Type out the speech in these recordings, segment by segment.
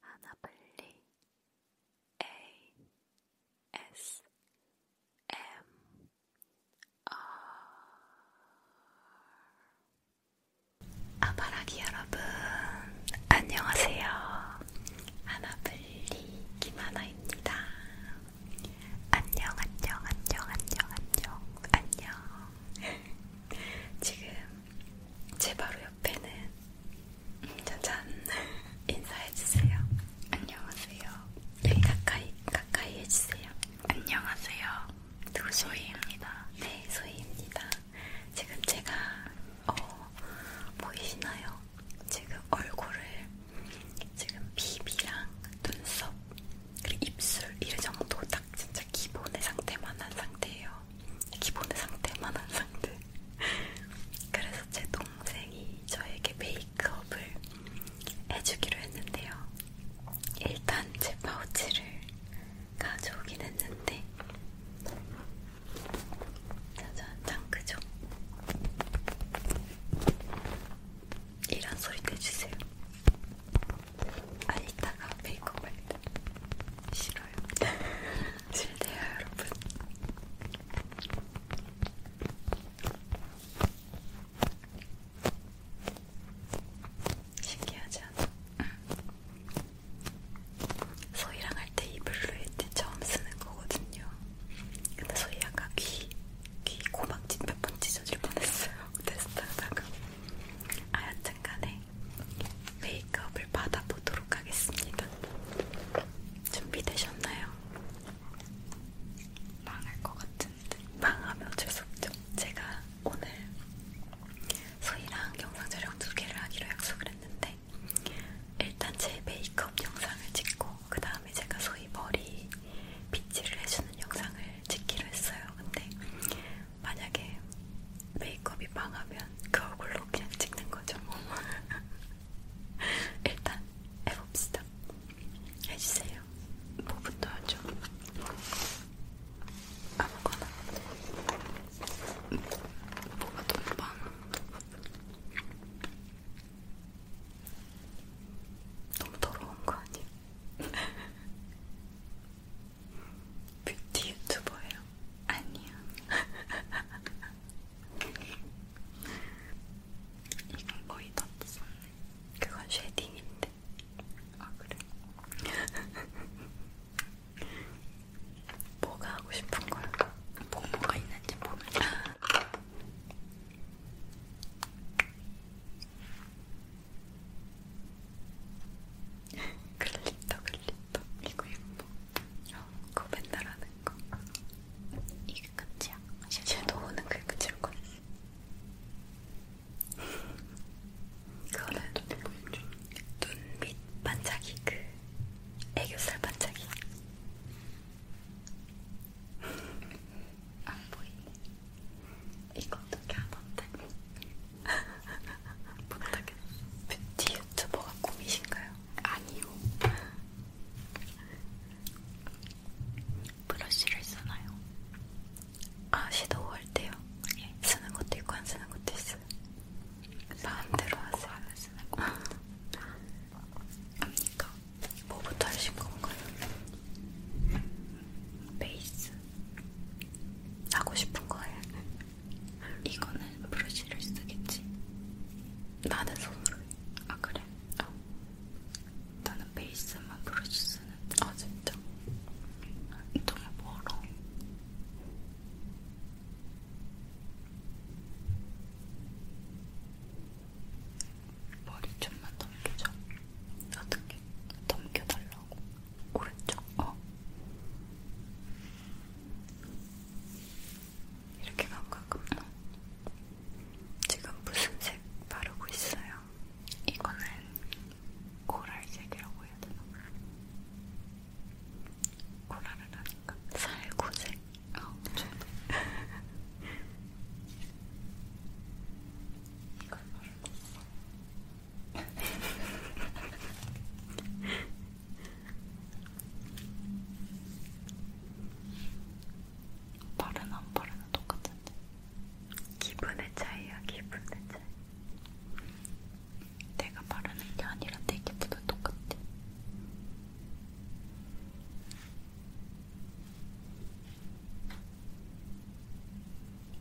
하나블리 ASMR 아바라기 여러분 안녕하세요. 하나블리 김하나입니다. 안녕 안녕 안녕 안녕 안녕 안녕 지금 제 바로 옆에는 짜잔 인사해주세요. 안녕하세요. 네, 네. 가까이 가까이 해주세요. 안녕하세요. 소희입니다. 네, 소희입니다. 지금 제가 어, 보이시나요? 지금 얼굴을 지금 비비랑 눈썹 그리고 입술 이런 정도 딱 진짜 기본의 상태만 한 상태예요. 기본의 상태만 한 상태. 그래서 제 동생이 저에게 메이크업을 해주기로 했는데요. 일단 제 파우치를 가져오긴 했는데, 짜잔, 장크죠? 이런 소리 내주세요. 아 이따가 메이크업 할때 싫어요. 싫대요 여러분. 신기하지 않아? 소희랑 할 때이 블루 헤드 처음 쓰는 거거든요. 근데 소희 약간 귀, 귀 고막진 몇번 찢어질 뻔했어요. 테스트하다가. 아, 여튼간에 메이크업을 받아보도록 하겠습니다. 준비되셨나요? 망할 것 같은데 망하면 어쩔 수 없죠. 제가 오늘 소희랑 영상 촬영 두 개를 하기로 약속을 했는데 일단 제 메이크업 영상을 찍고 그 다음에 제가 소희 머리 빗질을 해주는 영상을 찍기로 했어요. 근데 만약에 메이크업이 망하면 그 얼굴로 그냥 찍는 거죠. 뭐. 일단 해봅시다. 해주세요. 뭐부터 하죠? 아무거나. 뭐가 너무 많아. 너무 더러운 거 아니야? 뷰티 유튜버예요? 아니요. 이건 거의 다 썼네. 그건 쉐딩인데. 아 그래? 뭐가 하고 싶은 거야? 뭐 뭐가 있는지 모르겠어. 글리터 글리터 이거 예뻐 어, 그거 맨날 하는거 이게 끝이야 섀도우는 그게 끝일 거야 그거는 눈빛 반짝이 그 애교살 반짝이 안 보이네 이거 어떻게 하던데 못하겠어. 뷰티 유튜버가 꿈이신가요? 아니요. 브러쉬를 쓰나요? 아, 섀도우 할 때요? 예. 쓰는 것도 있고 안 쓰는 것도 있어요. 마음대로 하세요. 안 쓰는 거. 아닙니까? 그러니까 뭐부터 하신 건가요? 베이스. 하고 싶은 거예요. 이거는 브러쉬를 쓰겠지? 나는 손으로 해. 아 그래? 어. 나는 베이스만 브러쉬 쓰는데 아 진짜? 너무 멀어 머리 좀만 넘겨줘 어떻게? 넘겨달라고? 오른쪽? 어 이렇게 가깝나? 지금 무슨 색 바르고 있어요? 이거는 코랄색이라고 해야 되나? 코랄을 하니까 살구색? 아, 저 이걸 바르고 있어. 바르나 안 바르나 똑같은데 기분의 차이야 기분의 차이 내가 바르는 게 아니라 내 기분은 똑같아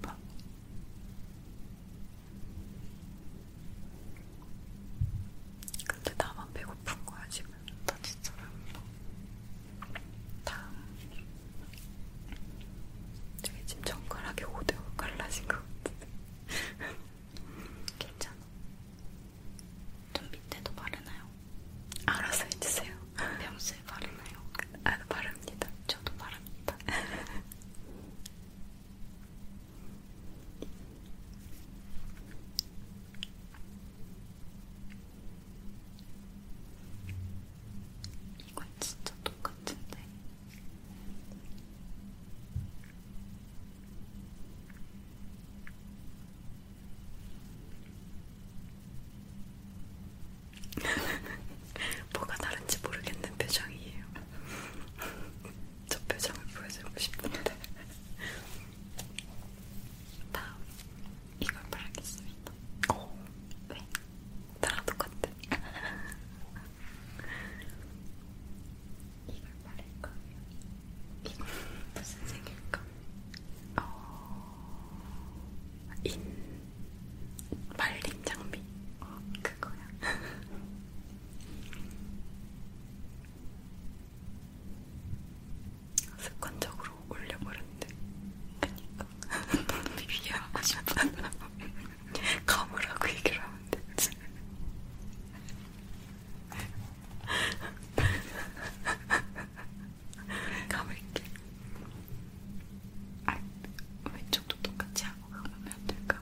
봐 뭐? 근데 나만 배고픈 거야 지금. 나 진짜 배고파. 다음. 저게 지금 정갈하게 5대5 갈라진 것 같은데. 괜찮아. 눈 밑에도 바르나요? 알아서 해주세요. 평소에 바르나요? 아, 바릅니다. 저도 바릅니다. 이건 진짜 똑같은데. 뭐가 다른지 모르겠는 표정이에요. 저 표정을 보여주고 싶은데 다음 이걸 바라겠습니다. 오, 어. 왜? 네. 나랑 똑같아. 이걸 바를까? 이건 무슨 색일까? 어... 인... 말린 장미? 그 어. 큰 거야. 습관적으로 올려버렸는데. 그니까. 비교하고 싶어. 감으라고 얘기를 하면 되지. 감을게. 아, 왼쪽도 똑같이 하고 가면 안 될까?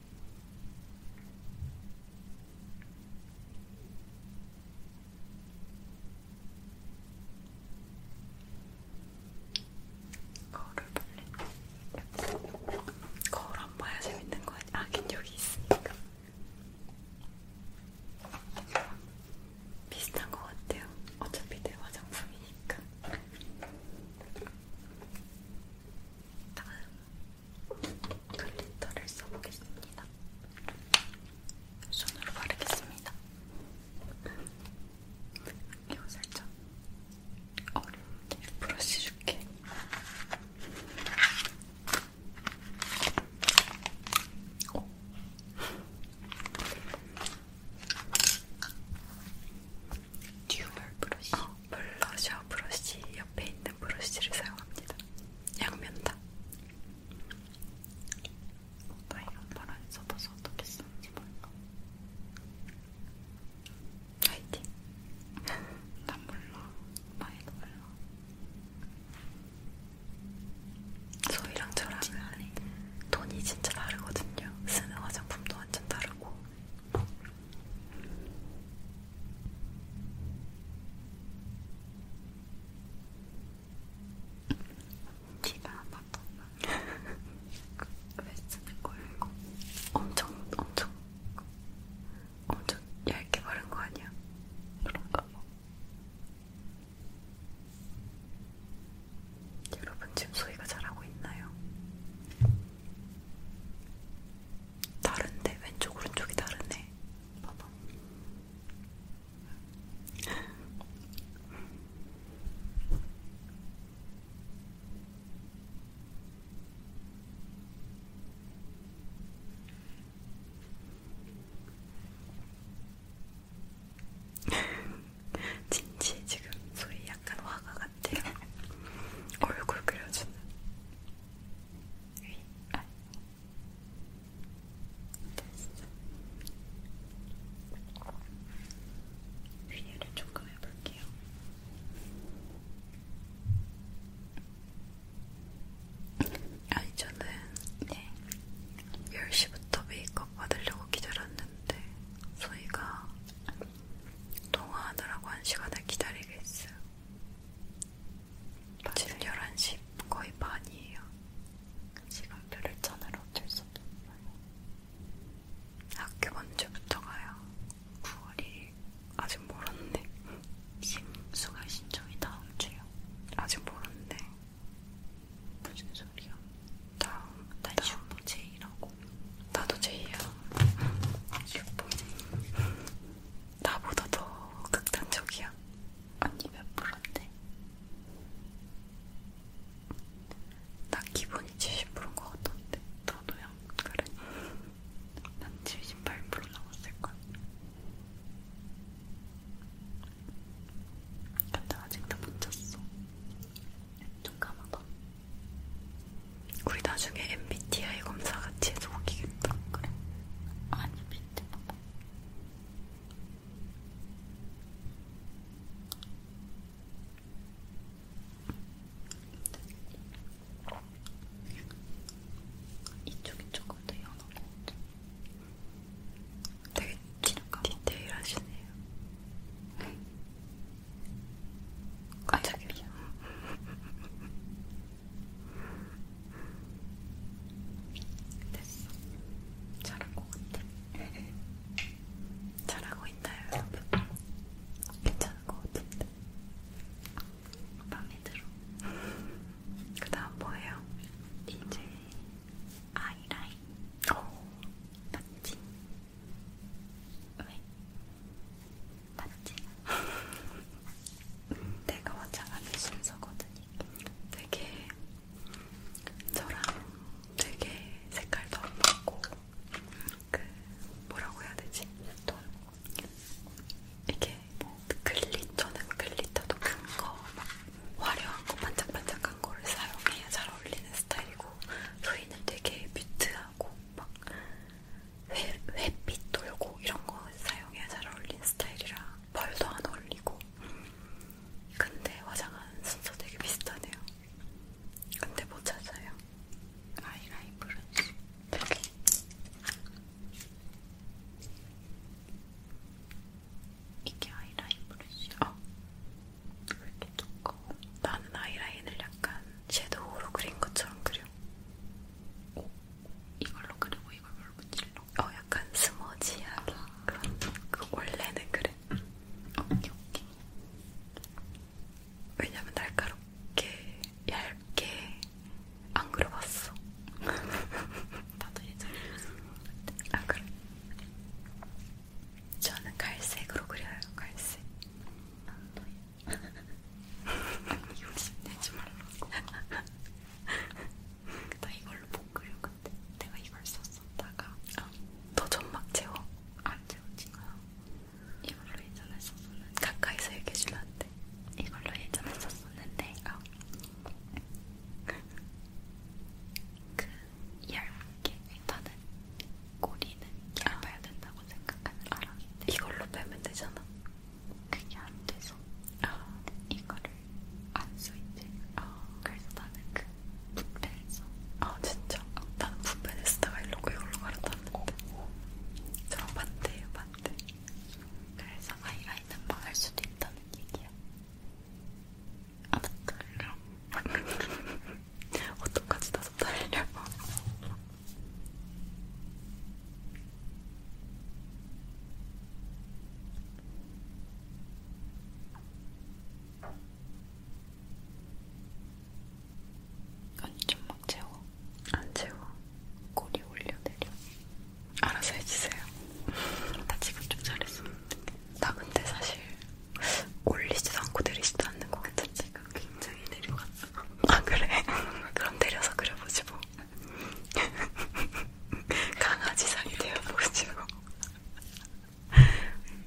거울을 볼래? 거울 안 봐야 재밌는 거 아니야? 아긴 여기 있으니까 비슷한 것 같아요. 어차피 내 화장품이니까. 다음 글리터를 써보겠습니다. 손으로 바르겠습니다. 이거 살짝 어렵게 브러쉬 줄게. 오. 어. 듀얼 브러쉬 어, 블러셔 브러쉬 옆에 있는 브러쉬를 사용합니다 양면다 어, 나 이런 말안 써봐서 어떻게 쓰는지 몰라 화이팅 난 몰라 많이도 몰라 소희랑 저랑은 아, 돈이 진짜 다르거든요 쓰는 화장품도 완전 다르고 티가 안 났던가? 왜 쓰는 거야 이거? 엄청 엄청 엄청 얇게 바른 거 아니야? 그런가 봐. 여러분 지금 소리가 잘하고 있나요? 다른데 왼쪽 오른쪽이 다르네. 봐봐. 진지 지금 소리 약간 화가 같아요. 얼굴 그려주는 위, 아, 네, 됐어. 위에를 조금 해볼게요. 아니 저는 네. 10시부터 메이크업 받으려고 기다렸는데 소희가 통화하느라고 한 시간을 기다리겠어요. 지금 11시 거의 반이에요. 시간표를 짜느라 어쩔 수 없어요. 학교 언제부터 가요? 9월이 아직 모르는데. 심수가 신청이 다음 주요. 아직 모르는데. 무슨 소리야? 다음, 다음 주 제이라고. 나도 제이야. 예뻐. 나보다 더 극단적이야. 언니 몇 프로인데? 나 기분이 70%인 것 같던데. 너도야? 그래. 난78% 남았을걸. 근데 아직도 못 잤어. 좀 감아봐. 우리 나중에 MBTI 검사 같이 해서 웃기겠다. 그래. 아니, 밑에 봐봐. 이쪽이 조금 더 연한 것 같아. 되게 디테일하시네요. 깜짝이야. 됐어. 잘한 것 같아. 잘하고 있나요, 여러분? 괜찮은 것 같은데. 마음에 들어. 그 다음 뭐예요? 이제 아이라인. 오, 어, 맞지? 왜? 맞지? 내가 와장하는 순서거든요. 되게 저랑 되게 색깔도 안 맞고 그 뭐라고 해야 되지? 돈 이게 뭐 글리터는 글리터도 큰거 화려한 거 반짝반짝한 거를 사용해야 잘 어울리는 스타일이고 소리는 되게 뮤트하고 막 회, 햇빛 돌고 이런 거 사용해야 잘 어울린 스타일이라 벌도 안 어울리고 근데 화장하는 순서 되게 비슷하네요 근데 못 찾아요 아이라이브를 이게 아이라인 브러쉬야? 어. 왜 이렇게 두꺼워? 나는 아이라인을 약간 섀도우로 그린 것처럼 그려. 오, 어? 이걸로 그리고 이걸로 문질러. 어, 약간 스머지하게 아, 그런. 그 원래는 그래. 응. 어, 오케이 오케이. 왜냐면 날카롭게 얇게 안 그려봤어. 나도 예전에 아 그래. 저는 갈색으로 그려요. 갈색. 아, 아니 욕심내지 말라고 나 이걸로 볶으려근데 내가 이걸 썼었다가 아, 너 점막 채워? 안 채워진 거야 이걸로 예전에 썼었는데 가까이서 얘기해주면 안돼 이걸로 예전에 썼었는데 아. 그 얇게 일단은 꼬리는 얇아야 된다고 생각하는 사람인데 이걸로 빼면 되잖아. 그게 안 돼서 아. 이거를 안써 있대. 아. 그래서 나는 그 붓펜에서 아 진짜? 어. 나는 붓펜에 쓰다가 이러고 이걸로 갈아탔는데 저랑 반대예요 반대. 그래서 아이라인은 망할 수도 있다는 얘기야. 아 맞다. 어떡하지 나도 달려. 아니 좀막 채워. 안 채워. 꼬리 올려내려. 알아서 해주세요. 나 지금 좀 잘했어. 나 근데 사실 올리지도 않고 내리지도 않는 거 같아. 제가 굉장히 내려갔어. 아 그래? 그럼 데려서 그려보지 뭐 강아지상이 되어보지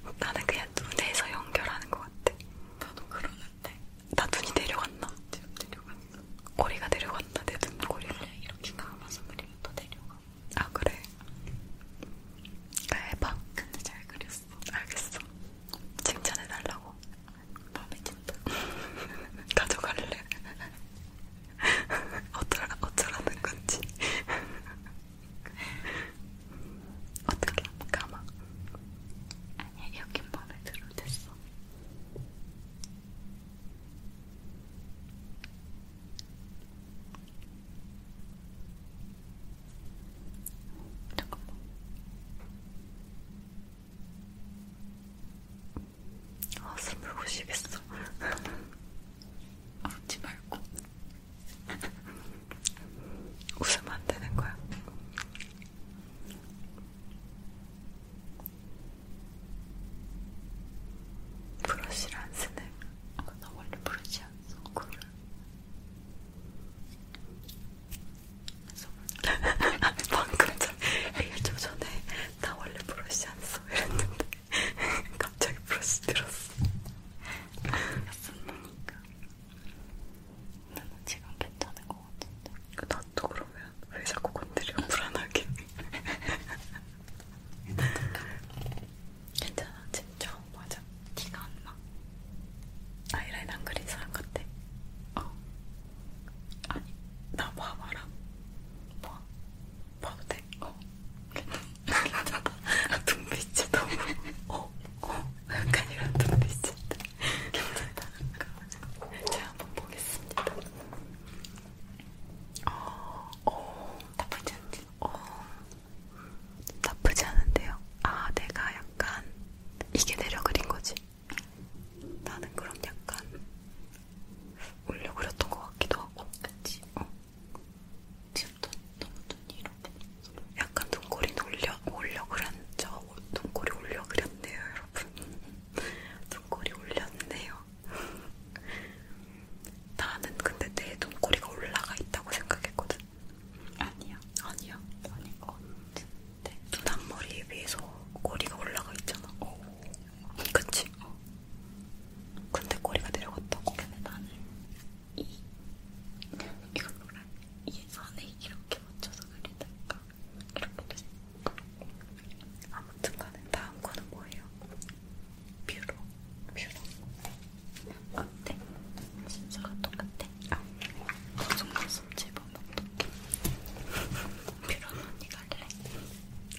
뭐 나는 그냥 눈에서 연결하는 것 같아 나도 그러는데 나 눈이 내려갔나? 지금 내려갔어 꼬리가 내려갔나? 내 눈꼬리가 이렇게 감아서 그리면 또 내려가 아 그래? 해봐 네, 근데 잘 그렸어 알았어, 알겠어. 칭찬해달라고. 마음에 든다. 가져갈래. 어쩌라, 어쩌라는 건지. 어떻게 감아? 아니야, 여긴 마음에 들어. 됐어. 잠깐만. 아 숨을 못 쉬겠어. 울지 말고. 웃으면 안 되는 거야. 브러쉬를 안 쓰네. 아, 나 원래 브러쉬 안 써. 그래. 방금 전 1초 전에 나 원래 브러쉬 안 써 이랬는데 갑자기 브러쉬 들었어 였으니까 나는 지금 괜찮은 것 같은데 그, 나도 그러면 왜 자꾸 건드려 불안하게 괜찮아 진짜 맞아 티가 안나 아이라인 안 그린 사람 같아. 어. 아니, 나 봐봐라. 봐. 봐도 돼? 어. 눈빛이 너무. 어, 어. 약간 이런 눈빛인데. 괜찮다는 거. 제가 한번 보겠습니다. 어, 어. 나쁘지 않지? 어. 나쁘지 않은데요? 아, 내가 약간 이게 내려 그린 거지? 나는 그럼 약간 올려 그렸던 것 같기도 하고 그치? 어. 지금 또, 너무 눈 위로 약간 눈꼬리 올려, 올려 그렸죠? 눈꼬리 올려 그렸네요 여러분 눈꼬리 올렸네요 나는 근데 내 눈꼬리가 올라가 있다고 생각했거든 아니야 아니야 아닌 것 같아 네. 눈앞머리 위에서 꼬리가 올라가 있잖아. 오. 어. 그치? 어. 근데 꼬리가 내려갔다고. 근데 나는 이, 이거 뭐라, 이 선에 이렇게 맞춰서 그리다가 이렇게 됐어. 아무튼 간에 다음 거는 뭐예요? 뷰러. 뷰러. 어때? 진짜가 똑같아. 아, 속눈썹 집어면 어떡해. 뷰런 언니 갈래?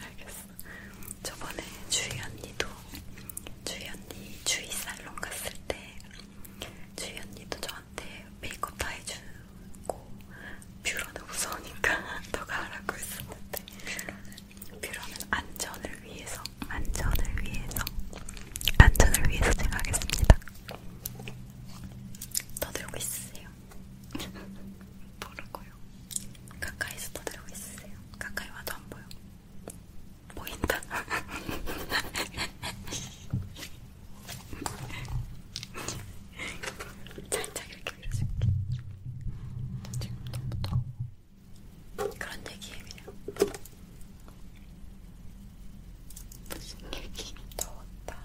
알겠어. 저번에 주희 언니도, 주희 언니, 주희 살롱 갔을 때, 주희 언니도 저한테 메이크업 다 해주고, 뷰러는 무서우니까 너가 하라고 했었는데, 뷰러는 안전을 위해서, 안전을 위해서, 안전을 위해서 생각했습니다. 떠들고 있으세요? 모르고요. 가까이서 떠들고 있으세요? 가까이 와도 안 보여. 보인다. 살짝 이렇게 밀어줄게. 지금 너무 더워. 그런 얘기예요, 그냥. 무슨 얘기? 더웠다.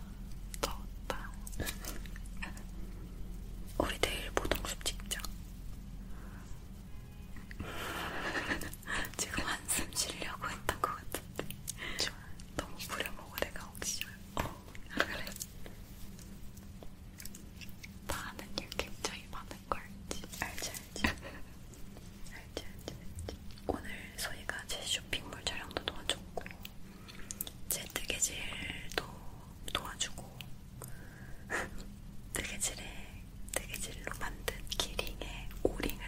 더웠다. 우리 내일 보동숲 찍자. 지금 한숨 쉬려고 했던 것 같은데. 좀 너무 부려먹어 내가 혹시. 어, 아, 그래. 나는 일 굉장히 많은 거 알지? 알지 알지. 알지 알지 알지. 오늘 소희가 제 쇼핑몰 촬영도 도와줬고 제 뜨개질도 도와주고 뜨개질에 뜨개질로 만든 기링에 오링을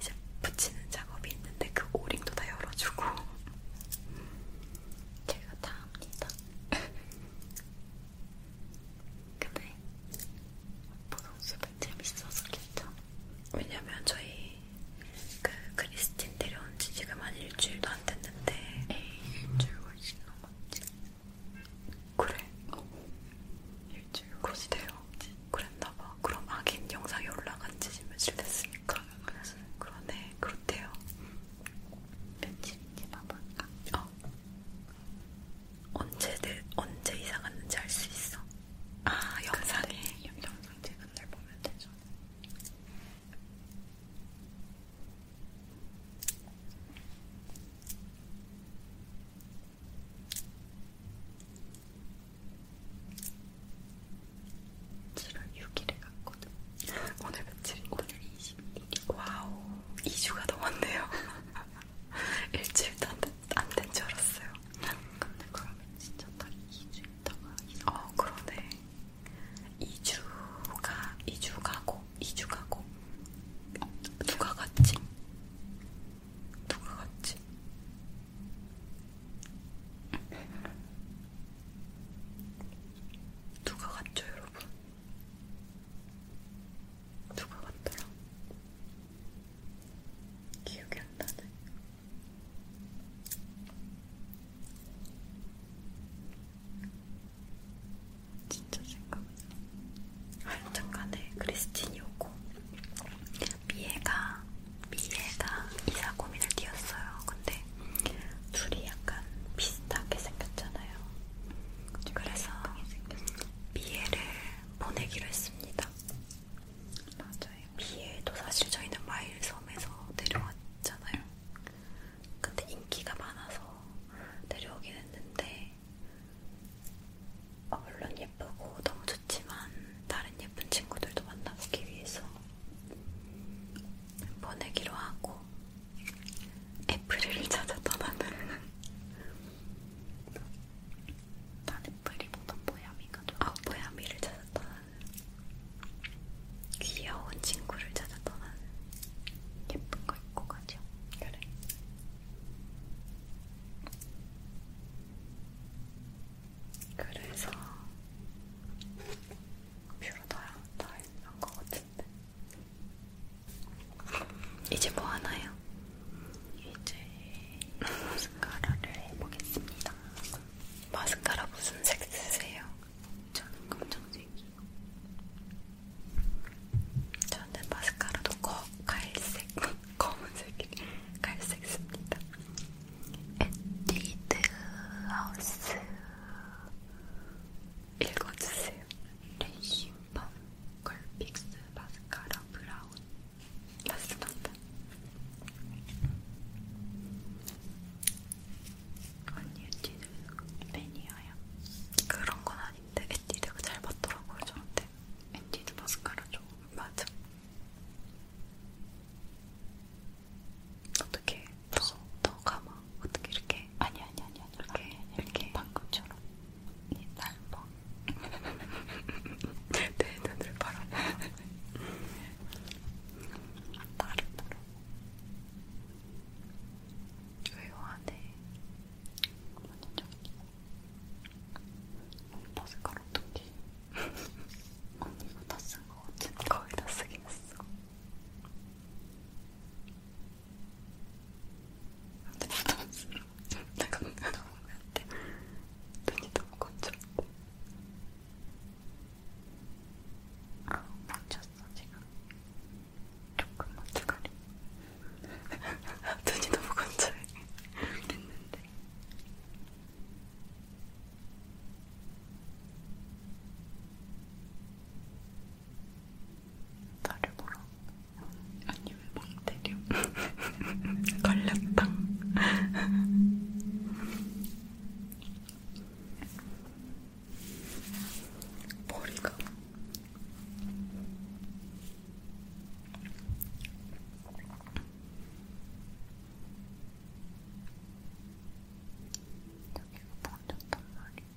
이제 붙이는 작업이 있는데 그 오링도 다 열어주고 제가 다 합니다. 근데 보통수은 재밌어서 괜찮아. 왜냐면 저희 여기 그 크리스틴 데려온 지 지금 한 일주일도 안 됐는데 에이 일주일 훨씬 넘었지 그래? 어. 일주일 훨씬 넘었지 그랬나봐 그럼 아긴 영상이 올라간 지 며칠 됐으니까 그래서 그러네 그렇대요 며칠인지 봐볼까? 어 언제, 내, 언제 이사 갔는지 알 수 있어? 아 그 영상에 영상 제가 사람들 보면 되죠. 지난 6일에 갔거든. 오늘 며칠인데? 오늘 21일. 와우, 2주가 넘었네요. 일주일도 안된줄 안 알았어요. 근데 그러면 진짜 딱 2주 있다가 어 그러네 2주가 2주 가고 2주 가고 누가 갔지? 누가 갔지? 누가 갔죠 여러분? 누가 갔더라? 기억이 안 나네. 진짜 생각나. 아, 잠깐에 크리스틴이 오고 미애가 미애가 이사고민을 띄었어요. 근데 둘이 약간 비슷하게 생겼잖아요. 그래서 미애를 보내기로 했습니다. 맞아요. 비엘도 사실 저희는 마일섬에서 데려왔잖아요. 근데 인기가 많아서 데려오긴 했는데 어, 물론 예쁘고 너무 좋지만 다른 예쁜 친구들도 만나보기 위해서 보내기로 하고 애플을 찾아 떠나는 나는 뿌리보다 보야미가 좋아. 아, 보야미를 찾았다. 귀여운 친구를 찾았다. 나는 예쁜 거 입고 가죠. 그래. 그래서 뷰러 다한 것 같은데. 이제 뭐 하나요? 이제 마스카라를 해보겠습니다. 마스카라 무슨 색 쓰세요? 저는 검정색이요. 저는 마스카라도 거, 갈색, 검은색이 갈색 씁니다. 에뛰드 하우스 읽어주세요. 레이싱밤, 걸픽스, 마스카라, 브라운, 맞습니다. 언니 에뛰드 팬이에요? 그런 건 아닌데 에뛰드가 잘 맞더라고요 저한테. 에뛰드 마스카라 좀 맞아. 어떻게 더, 더 감아? 어떻게 이렇게? 아니 아니 아니 아니 이렇게 아니, 아니, 이렇게, 이렇게 방금처럼 네, 날 봐. 내 눈을 바라봐. 따로따로 왜요 안에 버스컬 어떡해 언니가 다쓴거 같은 거의 다 쓰긴 했어 근데 부담스러워 내가 눈이 너무 안 돼. 눈이 너무 건조한데 아, 맞췄어, 아, 지금. 조금만 두가리. 눈이 너무 건조해. 그랬는데. 나를 보러. 아니, 왜망 때려? 걸렸다. 머리가 여기가 번졌단 말이야.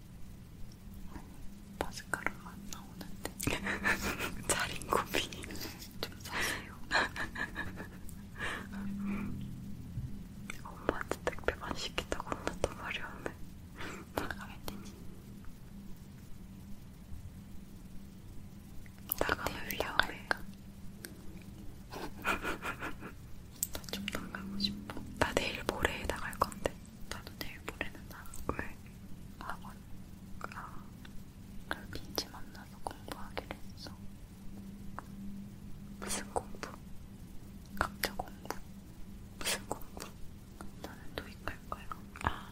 마스카라가 나오는데 자린 고비 좀 사세요. 엄마한테 택배만 시키다고 혼났던 말이 없네. 나가겠니? 나가면 위험해. 나좀 나가고 싶어. 나 내일 모레에 나갈 건데. 나도 내일 모레는 나. 왜? 학원. 아, 빈지 만나서 공부하기로 했어. 무슨 공부? 각자 공부. 무슨 공부? 나는 도입할 거야. 아.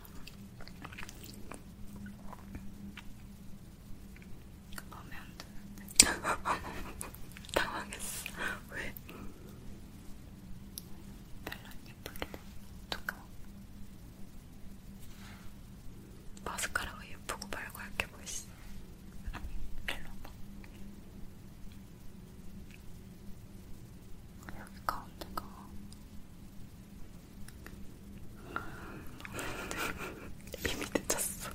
마음에 안 드는데. 당황했어. 왜? 별로 안 예쁘긴 해. 두꺼워. 마스카라가 예쁘고 말고 얇게 보이시. 뭐 아니, 일로 봐. 여기 가운데가 비밀 음, 미미 늦었어.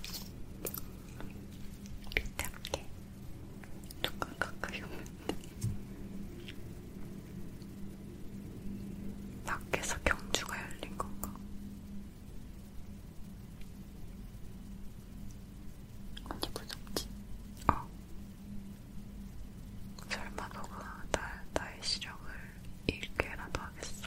밑에 할게. 조금 가까이 오면 돼. 밖에서 경주가 열린 건가? 언니 무섭지? 어. 설마 너가 나, 나의 시력을 잃게라도 하겠어?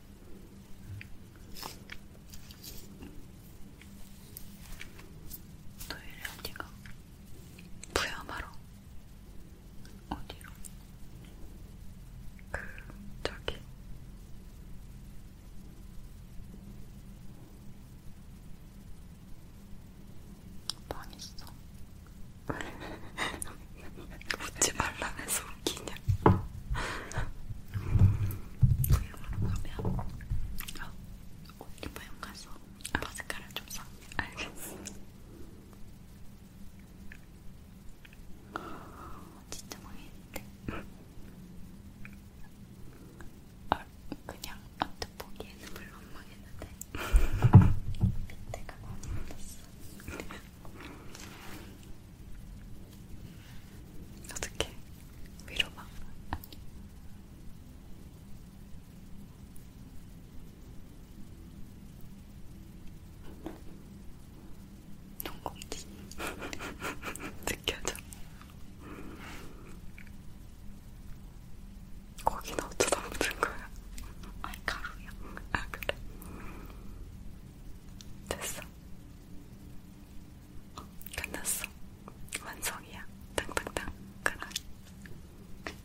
토요일에 어디가? 부야마로 어디로? 그 저기 망했어. 웃지 말라면서 웃기냐? 그러면 어, 옷 리퍼영 가서 마스카라 좀 써. 알겠어. 진짜 망했는데. 아, 그냥 언뜻 보기에는 별로 안 망했는데 밑에가 많이 묻었어. 어떻게 위로막 농공지 느껴져. 거기는 어쩌다 묻은 거야? 아이 가루야. 아 그래. 됐어. 끝났어. 완성이야. 땅땅땅. 그만.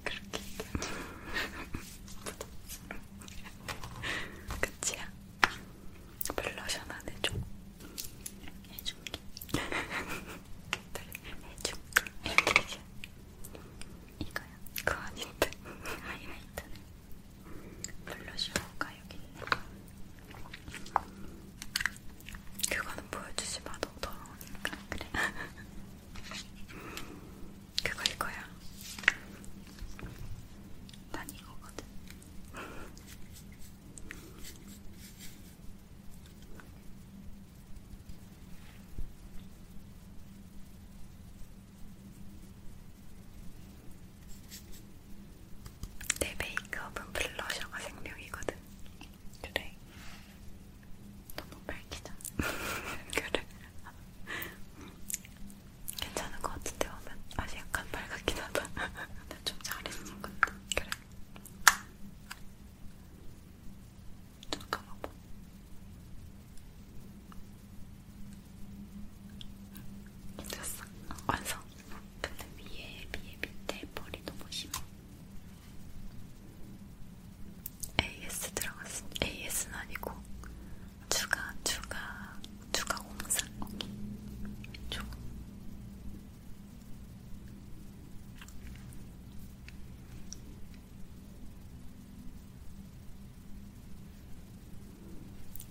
그렇게 끝이야. 블러셔나 해줘. 해줄게. 해줄게. 이거야. 그거 아닌데. 하이라이트는. 블러셔가 여기 있네. 그거는 보여주지 마, 너무 더러우니까. 그래. 그거 이거야. 난 이거거든. 내 메이크업은 블러셔가 생명이거든. 그래. 너무 밝히잖아. 그래. 괜찮은 것 같은데 오면 아직 약간 밝았긴 하다. 근데 좀 잘했어 근데. 그래. 잠깐만 봐. 됐어. 완성. 근데 위에 비해 밑에 펄이 너무 심해. AS 들어갔어. AS는 아니고 추가 추가 추가 공사. 오케이. 좋아. 음.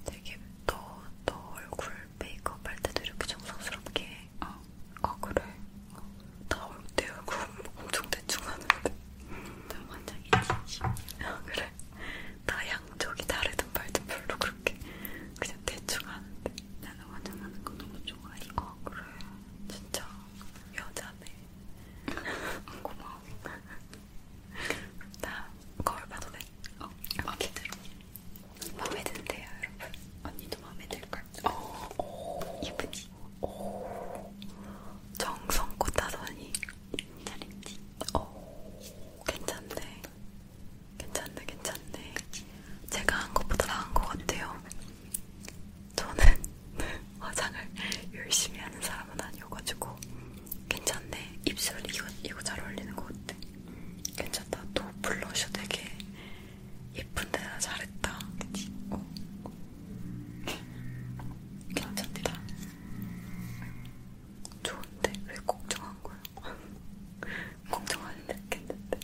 되게 너, 너 얼굴 메이크업 할 때도 이렇게 정성스럽게 해. 아, 어. 아 그래? 어. 나내 얼굴 엄청 대충 하는데 나 완전 인지심 아 그래? 나 양쪽이 다르든 말든 별로 그렇게 그냥 대충 하는데 나는 완전 하는 거 너무 좋아해 아 그래? 진짜 여자네 고마워 나 거울 봐도 돼? 어, 이렇게 아, 들어 마음에 드는데요, 여러분. 언니도 마음에 들걸. 어, 오, 예쁘지? 오, 정성껏 하더니 잘했지? 오, 어. 괜찮네. 괜찮네, 괜찮네. 제가 한 것보다 나은 것 같아요. 저는 화장을 열심히 하는 사람은 아니어가지고 괜찮네. 입술 이거 이거 잘 어울리는 것 같아. 음, 괜찮다. 또 블러셔 되게 예쁜데 나 잘했다. 그치? 어. 괜찮다. 좋은데? 왜 걱정한 거야? 걱정 안 해도 괜찮은데?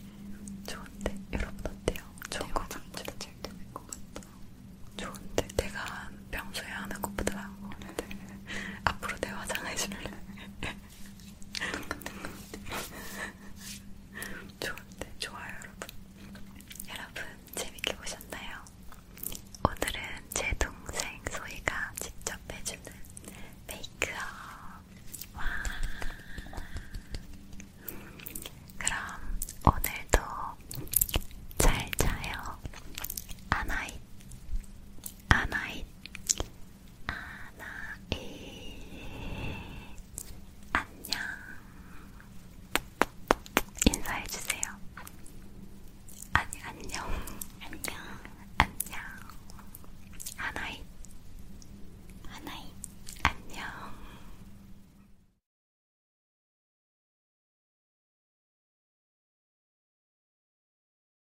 좋은데? 여러분 어때요? 좋은 거 진짜 잘 되는 것 같다. 좋은데? 내가 평소에 하는 것보다 나은 거 같아. 앞으로 내 화장해줄래? 좋은데 좋아요 여러분. 여러분 재밌게 보셨나요? 오늘은 제 동생 소희가 직접 해주는 메이크업. 와. 그럼 오늘도 잘 자요. 아나잇, 아나잇, 아나이 안녕 인사해주세요 아니 안녕 안녕 안녕 하나이 하나이 안녕